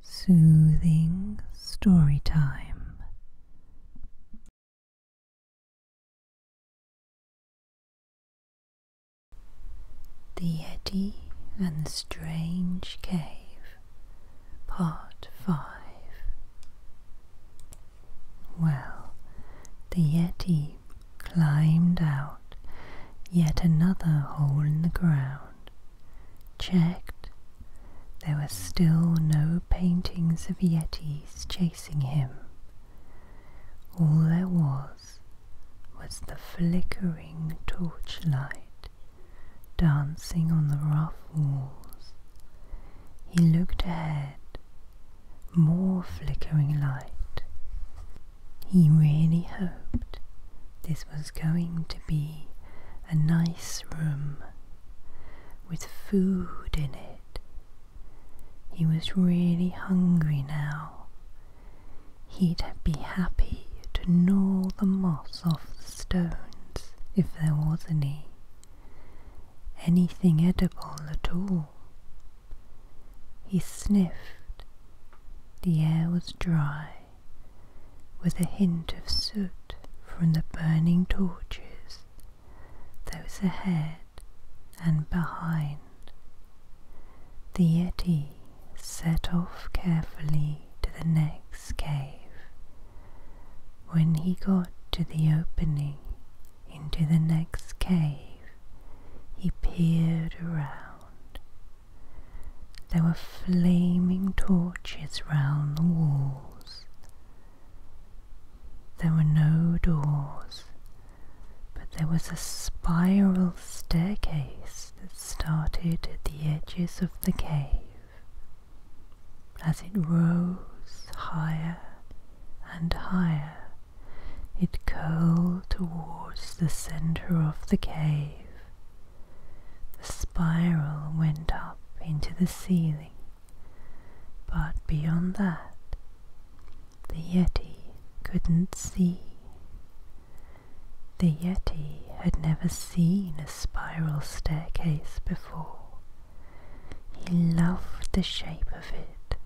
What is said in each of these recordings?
Soothing story time. The Yeti and the Strange Cave, Part 5. Well, the Yeti climbed out yet another hole in the ground Checked, there were still no paintings of yetis chasing him. All there was was the flickering torchlight dancing on the rough walls. He looked ahead, more flickering light. He really hoped this was going to be a nice room with food in it. He was really hungry now. He'd be happy to gnaw the moss off the stones if there was any. Anything edible at all. He sniffed. The air was dry with a hint of soot from the burning torches, those ahead and behind. The Yeti set off carefully to the next cave. When he got to the opening into the next cave, he peered around there were flaming torches round the walls. There were no doors, but there was a spiral staircase that started at the edges of the cave. As it rose higher and higher, it curled towards the centre of the cave the spiral went up into the ceiling, but beyond that, the Yeti couldn't see. The Yeti had never seen a spiral staircase before. He loved the shape of it,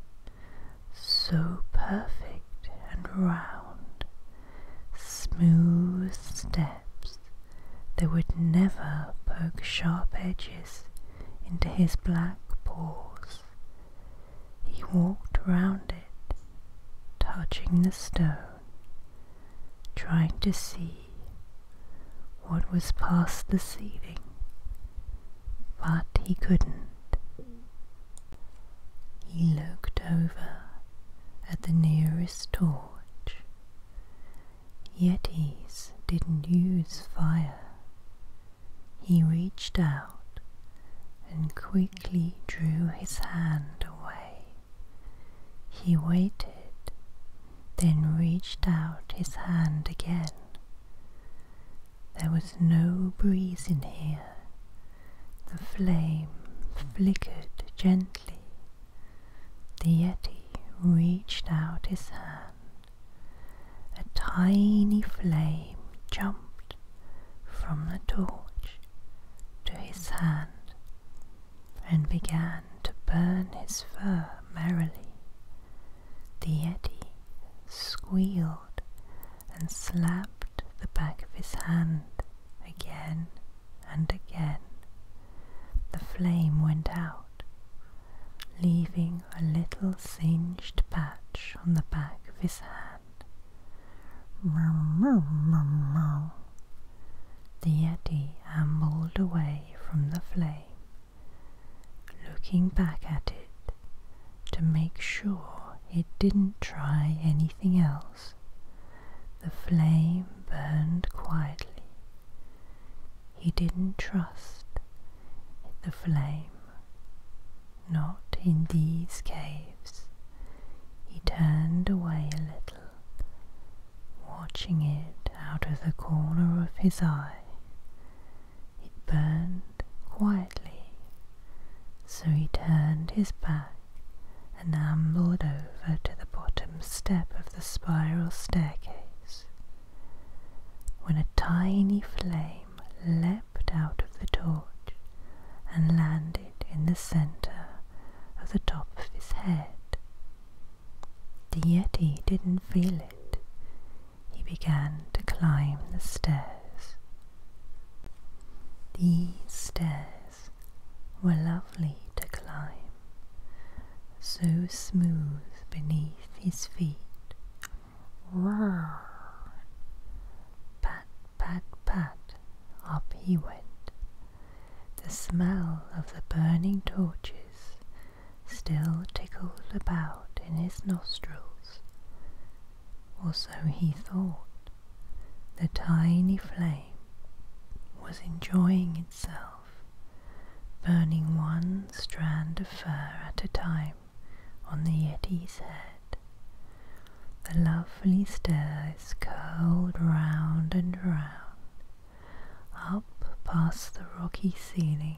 so perfect and round, smooth steps that would never poke sharp edges into his black paws. He walked round it, touching the stone, trying to see what was past the ceiling, but he couldn't he looked over at the nearest torch. Yetis didn't use fire. He reached out and quickly drew his hand away. He waited, then reached out his hand again. There was no breeze in here, the flame flickered gently. The Yeti reached out his hand. A tiny flame jumped from the torch to his hand and began to burn his fur merrily. The Yeti squealed and slapped the back of his hand Again and again the flame went out, leaving a little singed patch on the back of his hand. The Yeti ambled away from the flame, looking back at it to make sure it didn't try anything else. The flame burned quietly. He didn't trust the flame, not in these caves. He turned away a little, watching it out of the corner of his eye. It burned quietly so he turned his back and ambled over to the bottom step of the spiral staircase. When a tiny flame leapt out of the torch and landed in the center of the top of his head. The Yeti didn't feel it. He began to climb the stairs. These stairs were lovely to climb, so smooth beneath his feet. Roar! Pat, pat, pat, up he went. The smell of the burning torches still tickled about in his nostrils, or so he thought. The tiny flame was enjoying itself, burning one strand of fur at a time on the Yeti's head. The lovely stairs curled round and round, up past the rocky ceiling,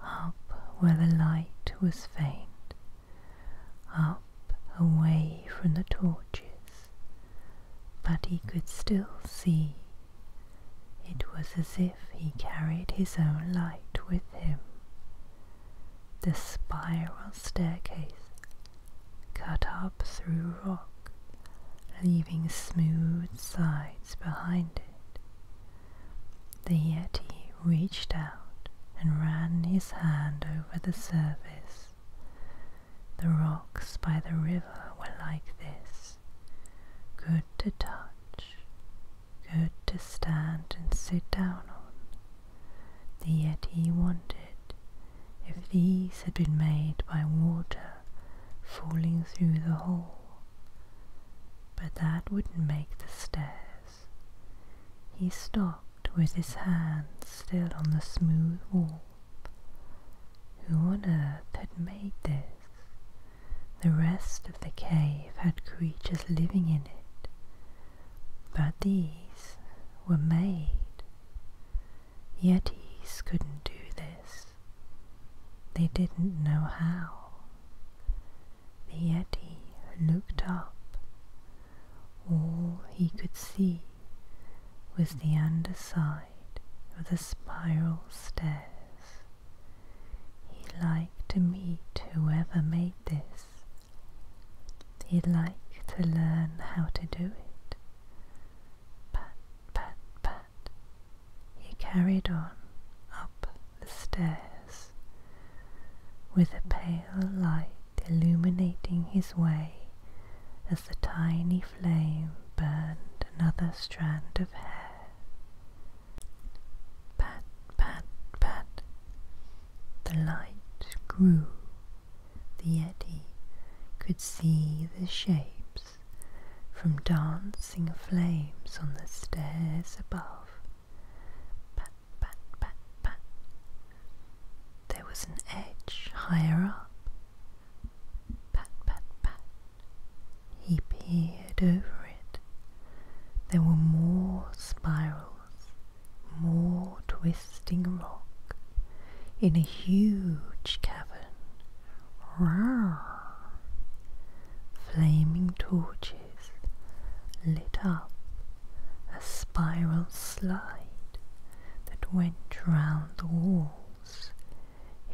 up where the light was faint up away from the torches, but he could still see. It was as if he carried his own light with him. The spiral staircase cut up through rock, leaving smooth sides behind it. The Yeti reached and ran his hand over the surface. The rocks by the river were like this good to touch, good to stand and sit down on. The Yeti wanted, if these had been made by water falling through the hole, but that wouldn't make the stairs. He stopped with his hand still on the smooth wall. Who on earth had made this? The rest of the cave had creatures living in it, but these were made. Yetis couldn't do this. They didn't know how. The Yeti looked up all he could see was the underside of the spiral stairs. He'd like to meet whoever made this. He'd like to learn how to do it. Pat, pat, pat. He carried on up the stairs with a pale light illuminating his way as the tiny flame burned another strand of hair. Pat, pat, pat. The light grew. The Yeti could see the shapes from dancing flames on the stairs above pat, pat, pat, pat. There was an edge higher up. Pat, pat, pat. He peered over it. There were more spirals, more twisting rock, in a huge cavern. Rawr! Flaming torches lit up a spiral slide that went round the walls.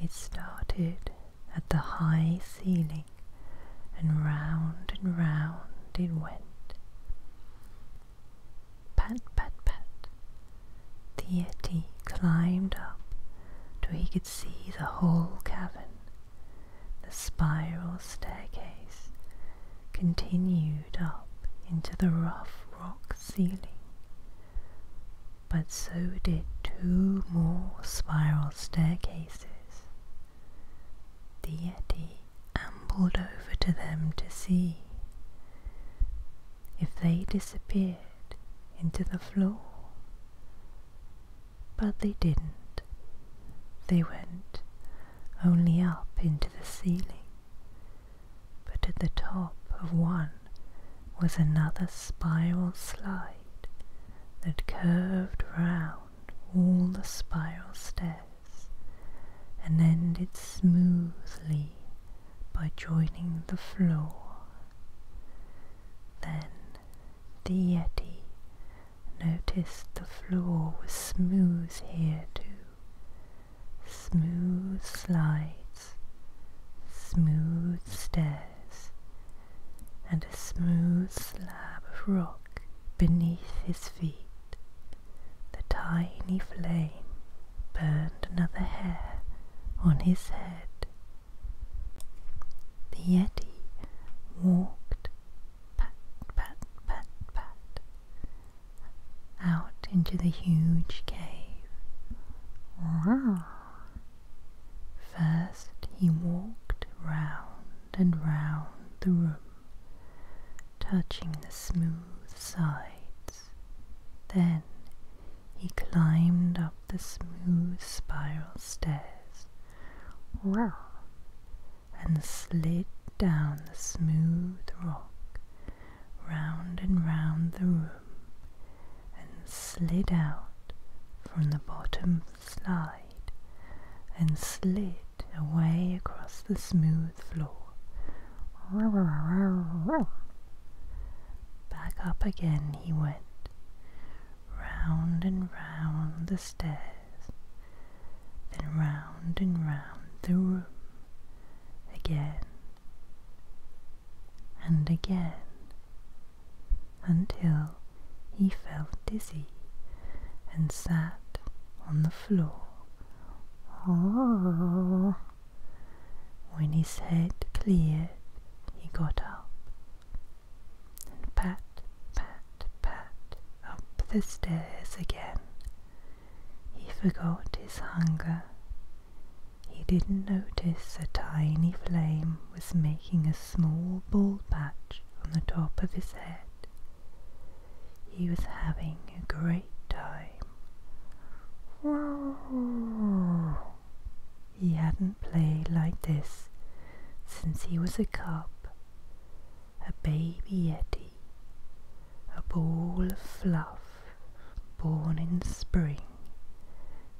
It started at the high ceiling and round and round it went. Pat, pat, pat. The etty climbed up till he could see the whole cavern. The spiral staircase continued up into the rough rock ceiling, but so did two more spiral staircases. The Yeti ambled over to them to see if they disappeared into the floor. But they didn't. They went only up into the ceiling, but at the top of one was another spiral slide that curved round all the spiral stairs and ended smoothly by joining the floor. Then the Yeti Noticed the floor was smooth here too. Smooth slides, smooth stairs, and a smooth slab of rock beneath his feet. The tiny flame burned another hair on his head. The Yeti walked pat, pat, pat, pat, out into the huge cave. First he walked round and round the room, touching the smooth sides. Then he climbed up the smooth spiral stairs and slid down the smooth rock, round and round the room, and slid out from the bottom of the slide, and slid away across the smooth floor. Back up again he went, round and round the stairs, then round and round the room again and again until he felt dizzy and sat on the floor. Oh. When his head cleared, he got up and pat pat, pat, up the stairs again. He forgot his hunger. He didn't notice a tiny flame was making a small ball patch on the top of his head. He was having a great time. He hadn't played like this since he was a cub a baby Eddie, a ball of fluff born in spring,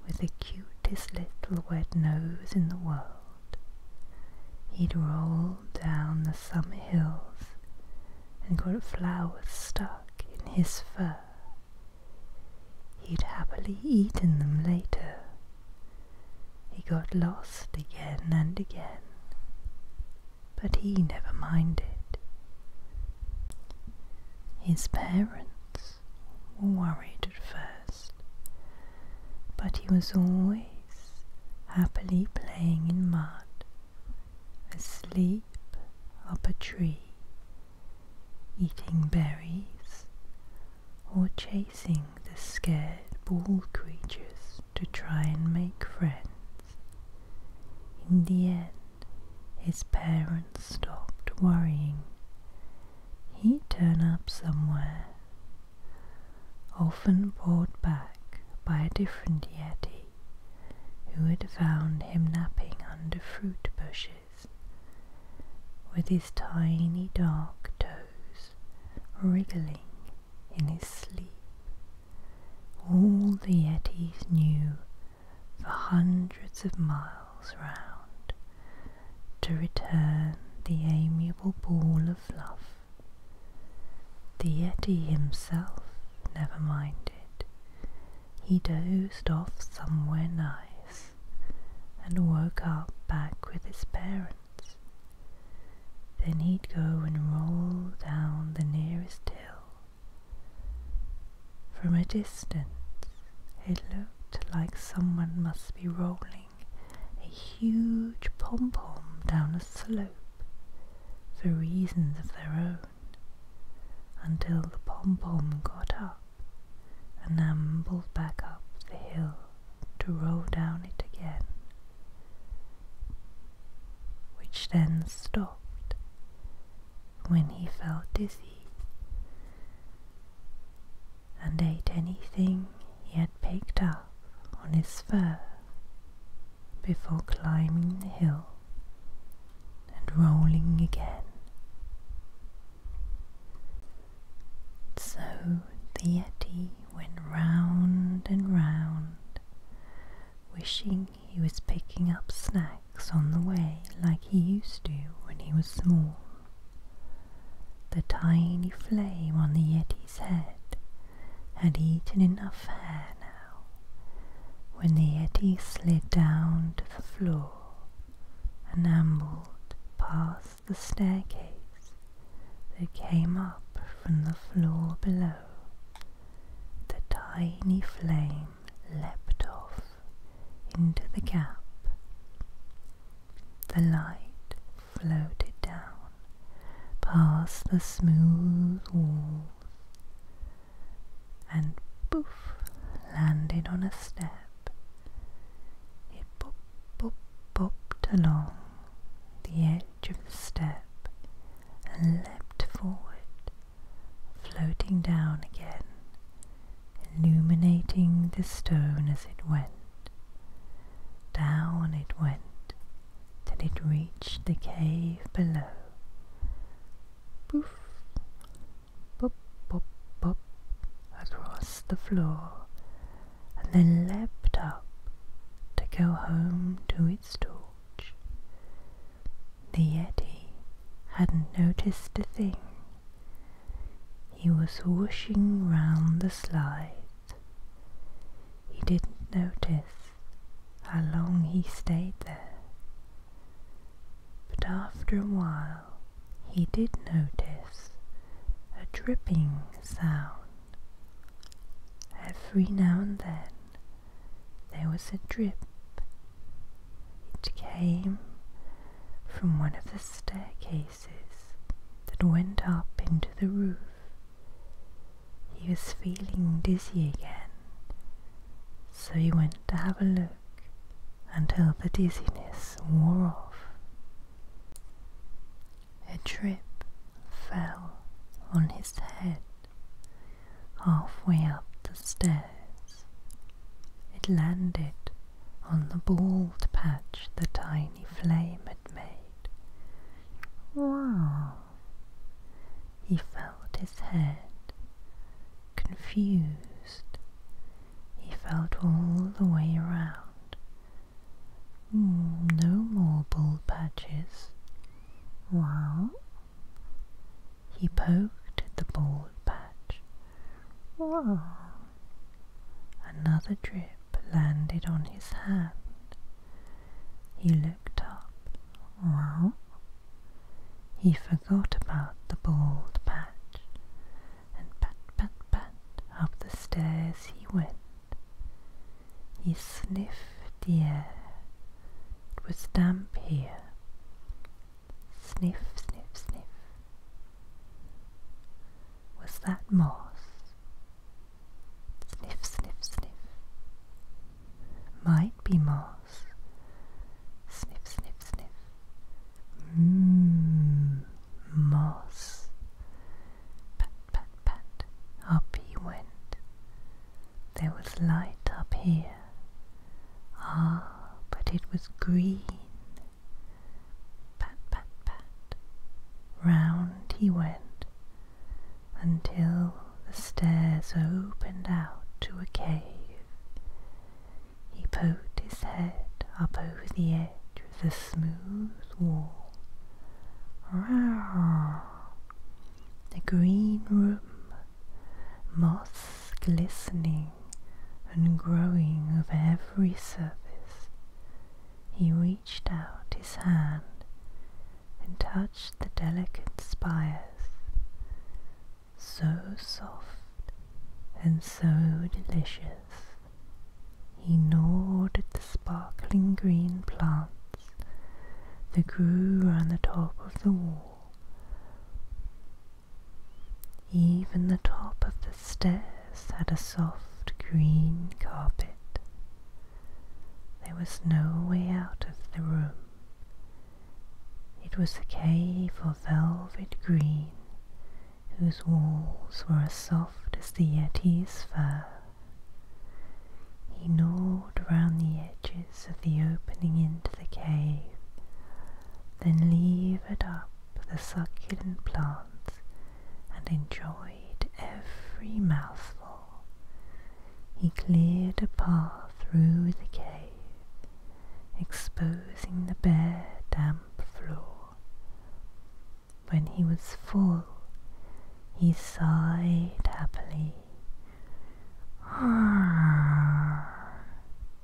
with the cutest little wet nose in the world. He'd rolled down the summer hills and got flowers stuck in his fur. He'd happily eaten them later, he got lost again and again, but he never minded. His parents were worried at first, but he was always happily playing in mud, asleep up a tree, eating berries, or chasing the scared bald creatures to try and make friends. In the end, his parents stopped worrying. He'd turn up somewhere, often brought back by a different yeti who had found him napping under fruit bushes with his tiny dark toes wriggling in his sleep. All the Yetis knew for hundreds of miles round to return the amiable ball of fluff. The Yeti himself never minded. He dozed off somewhere nice and woke up back with his parents. Then he'd go and roll down the nearest hill. From a distance, it looked like someone must be rolling a huge pom pom down a slope for reasons of their own, until the pom pom got up and ambled back up the hill to roll down it again which then stopped when he felt dizzy and ate anything he had picked up on his fur before climbing the hill and rolling again. So the Yeti went round and round, wishing he was picking up snacks on the way like he used to when he was small. The tiny flame on the Yeti's head had eaten enough hair now when the Yeti slid down to the floor and ambled past the staircase that came up from the floor below. The tiny flame leapt off into the gap. The light floated down past the smooth walls and boof, landed on a step. It pop, pop, popped along the edge of the step and leapt forward, floating down again, illuminating the stone as it went. Down it went till it reached the cave below. Boof, pop, pop, pop, across the floor and then leapt up to go home to its torch. The Yeti hadn't noticed a thing. He was whooshing round the slide. He didn't notice how long he stayed there. But after a while he did notice a dripping sound Every now and then there was a drip. It came from one of the staircases that went up into the roof. He was feeling dizzy again, so he went to have a look until the dizziness wore off a drip fell on his head halfway up the stairs. It landed on the bald patch the tiny flame had made. Wow! He felt his head, confused. He felt all the way around, no more bald patches. He poked at the bald patch. Another drip landed on his hat. He looked up. He forgot about the bald patch and pat pat pat up the stairs he went. He sniffed the air. It was damp here. Sniff, sniff, sniff. Was that moss? Sniff, sniff, sniff. Might be moss. Sniff, sniff, sniff. Mmm, moss. Pat, pat, pat, up he went. There was light up here. Ah, but it was green. Pat, pat, pat, round he went until the stairs opened out to a cave. He poked his head up over the edge the smooth wall. The green room, moss glistening and growing of every surface. He reached out his hand and touched the delicate spires, so soft and so delicious. He gnawed at the sparkling green plants that grew round the top of the wall. Even the top of the stairs had a soft green carpet. There was no way out of the room. It was a cave of velvet green whose walls were as soft as the yeti's fur. He gnawed round the edges of the opening into the cave, then levered up the succulent plants and enjoyed every mouthful. He cleared a path through the cave, exposing the bare damp floor. When he was full, he sighed happily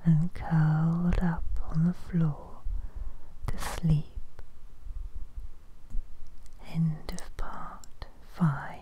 and curled up on the floor to sleep. End of part five.